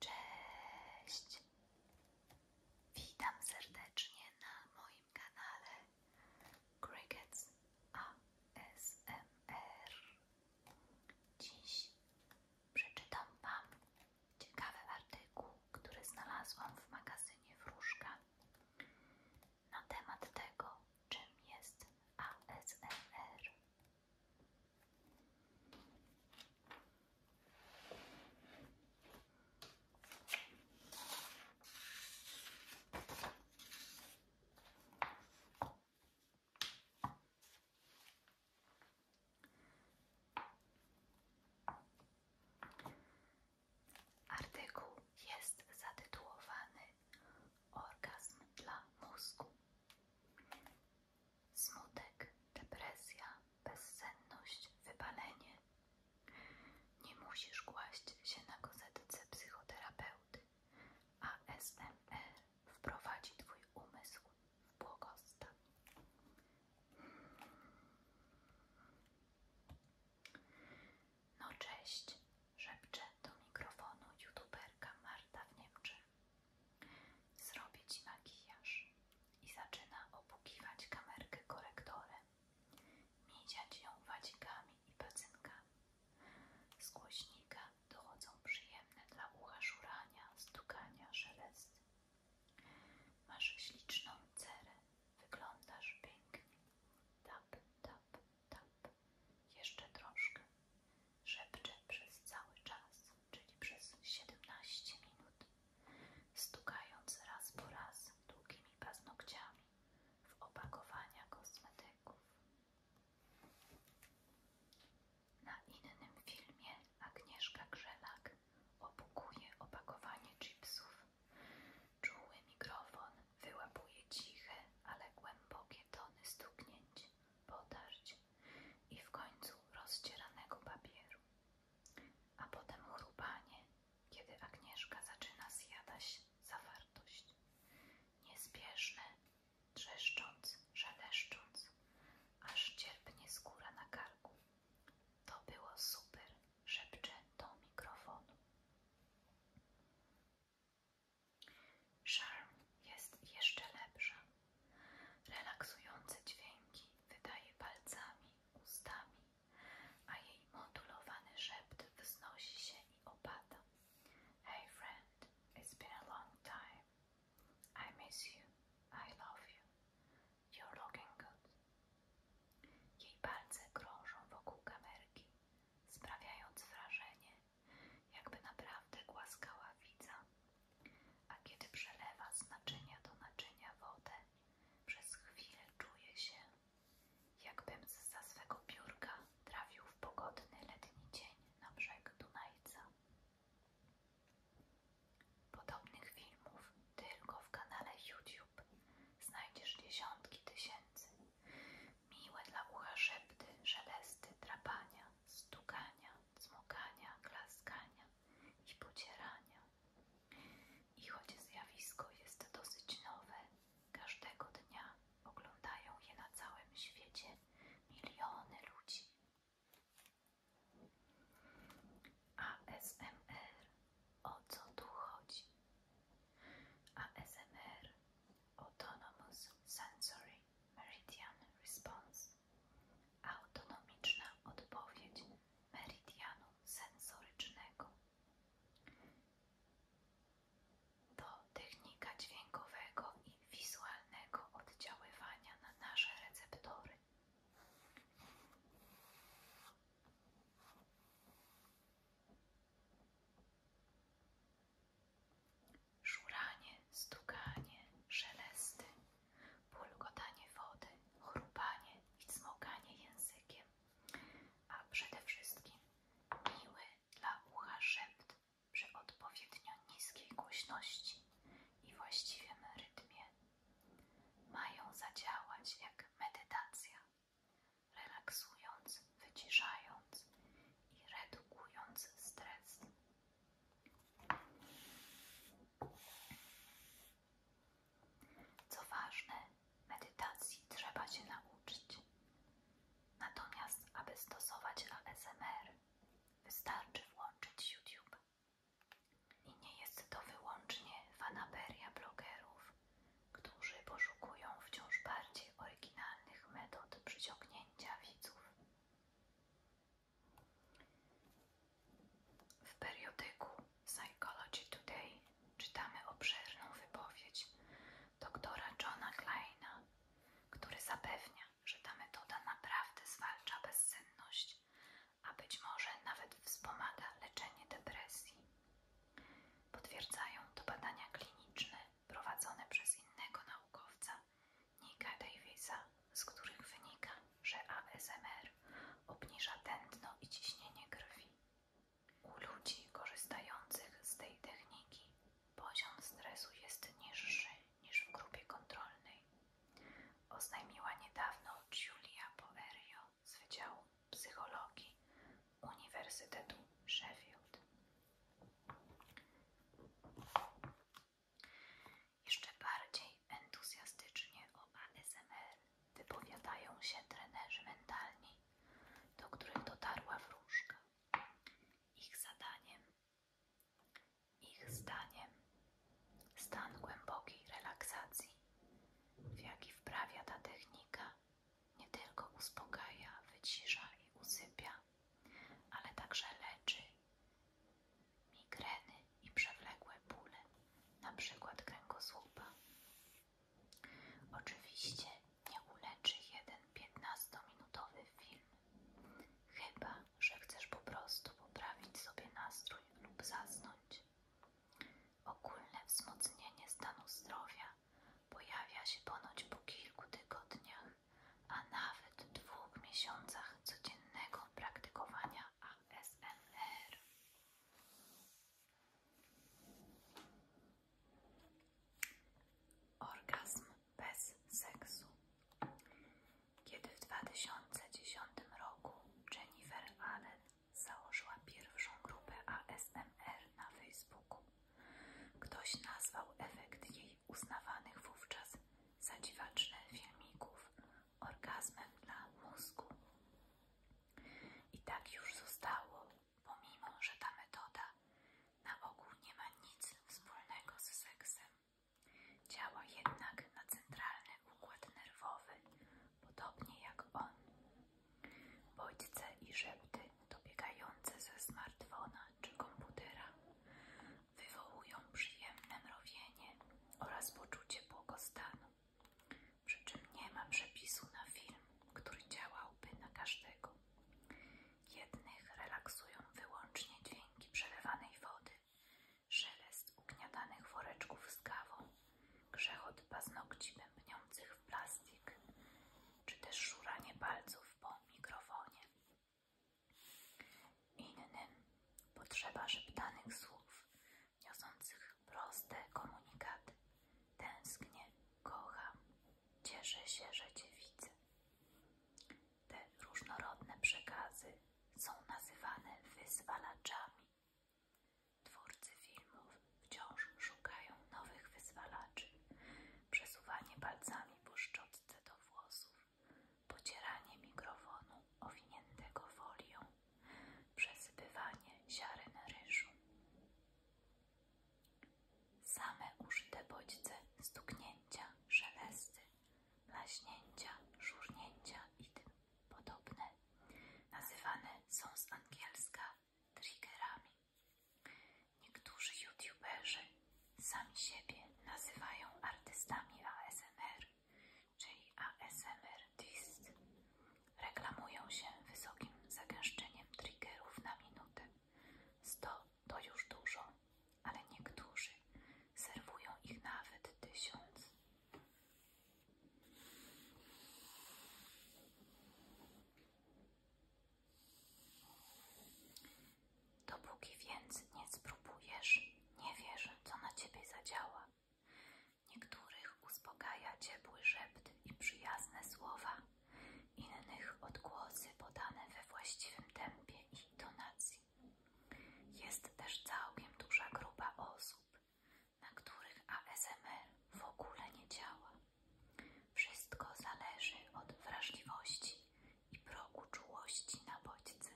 Cześć! Witam serdecznie na moim kanale Crickets ASMR. Dziś przeczytam Wam ciekawy artykuł, który znalazłam w magazynie Wróżka na temat tego, czym jest ASMR. Artykuł jest zatytułowany Orgazm dla mózgu. Smutek, depresja, bezsenność, wypalenie. Nie musisz kłaść się na kozetce psychoterapeuty, a SMR wprowadzi Twój umysł w błogostan. No cześć, szepcze do mikrofonu youtuberka Marta w Niemczech. Zrobić ci makijaż i zaczyna opukiwać kamerkę korektorem, miedziać ją wadzikami i pacynkami. Z głośnika dochodzą przyjemne dla ucha szurania, stukania, szelesty. Masz śliczną cerę, wyglądasz pięknie. Tap, tap, tap. Jeszcze troszkę. Szepczę przez cały czas czyli przez 17 minut, stukając raz po raz długimi paznokciami w opakowania kosmetyków. Na innym filmie Agnieszka Grzelak opukuje opakowanie chipsów. Czuły mikrofon wyłapuje ciche, ale głębokie tony stuknięć potarć i w końcu rozcieranego papieru. A potem chrupanie, kiedy Agnieszka zaczyna zjadać zawartość. Niespieszne, trzeszcząc, szeleszcząc, aż cierpnie skóra na karku. To było super, szepcze do mikrofonu. Charm jest jeszcze lepsza. Relaksujące dźwięki wydaje palcami, ustami, a jej modulowany szept wznosi się i opada. Hey friend, it's been a long time. I miss you. I love you. You're looking good. Jej palce krążą wokół kamery, sprawiając wrażenie, jakby naprawdę głaskała widza, a kiedy przelewa z naczynia do naczynia wodę, przez chwilę czuję się, jakbym za swego biurka trafił w pogodny letni dzień na brzeg Dunajca. Podobnych filmów tylko w kanale YouTube znajdziesz dziesiątki tysięcy. Miłe dla ucha szepty, szelesty, drapania, stukania, cmokania, klaskania i pocierania. I choć zjawisko jest dosyć nowe, każdego dnia oglądają je na całym świecie miliony ludzi. ASMR o co tu chodzi? ASMR Autonomous Sensory Meridian Response autonomiczna odpowiedź meridianu sensorycznego. To technika dźwiękowego i wizualnego oddziaływania na nasze receptory. Szuranie, stukanie, szelesty, pulgotanie wody, chrupanie i cmokanie językiem, a przede wszystkim miły dla ucha szept przy odpowiednio niskiej głośności i właściwym rytmie. Mają zadziałać jak medytacja, relaksując, wyciszając i redukując stres. Co ważne, medytacji trzeba się nauczyć. Natomiast, aby stosować ASMR, wystarczy włączyć YouTube. I nie jest to wyłącznie fanaberia blogerów, którzy poszukują wciąż bardziej oryginalnych metod przyciągnięcia widzów. W periodyku Psychology Today czytamy obszerną wypowiedź doktora Johna Kleina, który zapewnia, że ta metoda naprawdę zwalcza bezsenność, a być może nawet wspomaga leczenie depresji. Potwierdzają to badania kliniczne prowadzone przez innego naukowca Nika Davisa, z których wynika, że ASMR obniża tętno i ciśnienie krwi. U ludzi korzystających z tej techniki poziom stresu jest niższy niż w grupie kontrolnej. Oznajmiła niedawno Julia Boerio z Wydziału Psychologii Uniwersytetu Sheffield. Jeszcze bardziej entuzjastycznie o ASMR wypowiadają się trenerzy mentalni, do których dotarła wróżka. Ich zadaniem, ich zdaniem, stan głębokiej relaksacji, w jaki wprawia ta technika, nie tylko uspokaja, wycisza i usypia, ale także leczy migreny i przewlekłe bóle, przykład kręgosłupa. Oczywiście nie uleczy jeden 15-minutowy film, chyba że chcesz po prostu poprawić sobie nastrój lub zasnąć. Ogólne wzmocnienie stanu zdrowia pojawia się ponoć po kilku tygodniach, a nawet dwóch miesiącach codziennego praktykowania ASMR. Orgazm bez seksu. Kiedy w 2010 roku Jennifer Allen założyła pierwszą grupę ASMR na Facebooku, ktoś nazwał efekt jej uznawanych wówczas za dziwaczne filmików orgazmem dla mózgu. I tak już zostało, pomimo że ta metoda na ogół nie ma nic wspólnego z seksem. Działa jednak na centralny układ nerwowy, podobnie jak on. Bodźce i szepty dobiegające ze smartfona czy komputera wywołują przyjemne mrowienie oraz poczucie błogostanu, przy czym nie ma przepisu na film, który działałby na każdego. Jednych relaksują wyłącznie dźwięki przelewanej wody, szelest ugniatanych woreczków z kawą, grzechot paznokci bębniących w plastik, czy też szuranie palców po mikrofonie. Innym potrzeba szeptanych słów, niosących proste komunikaty. Tęsknię, kocha, cieszę się, że Cię widzę. Te różnorodne przekazy są nazywane wyzwalaczami. Twórcy filmów wciąż szukają nowych wyzwalaczy. Przesuwanie palcami po szczotce do włosów pocieranie mikrofonu owiniętego folią, przesypywanie ziaren ryżu. Same użyte bodźce stuknięcia, szelesty, laśnięcia, szurnięcia i tym podobne nazywane są z angielska triggerami. Niektórzy youtuberzy sami siebie nazywają artystami ASMR, czyli ASMR Twist. Reklamują się wysokim zagęszczeniem triggerów na minutę. 100 to już dużo, ale niektórzy serwują ich nawet tysiąc. Dopóki więc nie spróbujesz, nie wiesz, co na ciebie zadziała. Niektórych uspokaja ciepły szept i przyjazne słowa, innych odgłosy podane we właściwym tempie i intonacji. Jest też całkiem duża grupa osób, na których ASMR w ogóle nie działa. Wszystko zależy od wrażliwości i progu czułości na bodźce.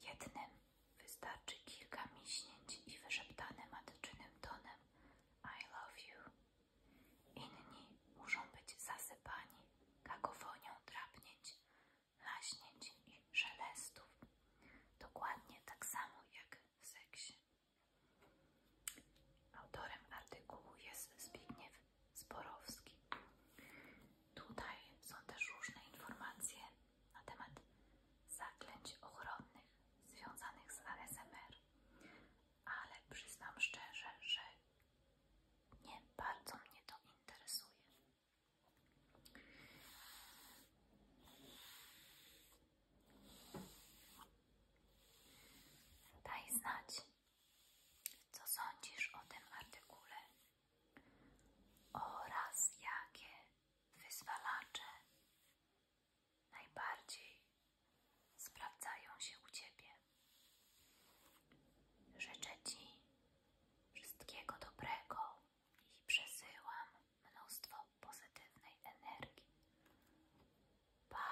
Jednym wystarczy kilka miśnięć i wyszeptane matczynym tonem I love you. Inni muszą być zasypani kakofonią drapnięć, laśnięć i szelestów. Dokładnie tak samo jak w seksie. Autorem artykułu jest Zbigniew Zborowski. Tutaj są też różne informacje na temat zaklęć ochronnych związanych z ASMR, ale przyznam szczerze, że nie bardzo mnie to interesuje. Daj znać, co sądzisz o tym artykule oraz jakie wyzwalacze najbardziej sprawdzają się u Ciebie. Życzę Ci wszystkiego dobrego i przesyłam mnóstwo pozytywnej energii. Pa!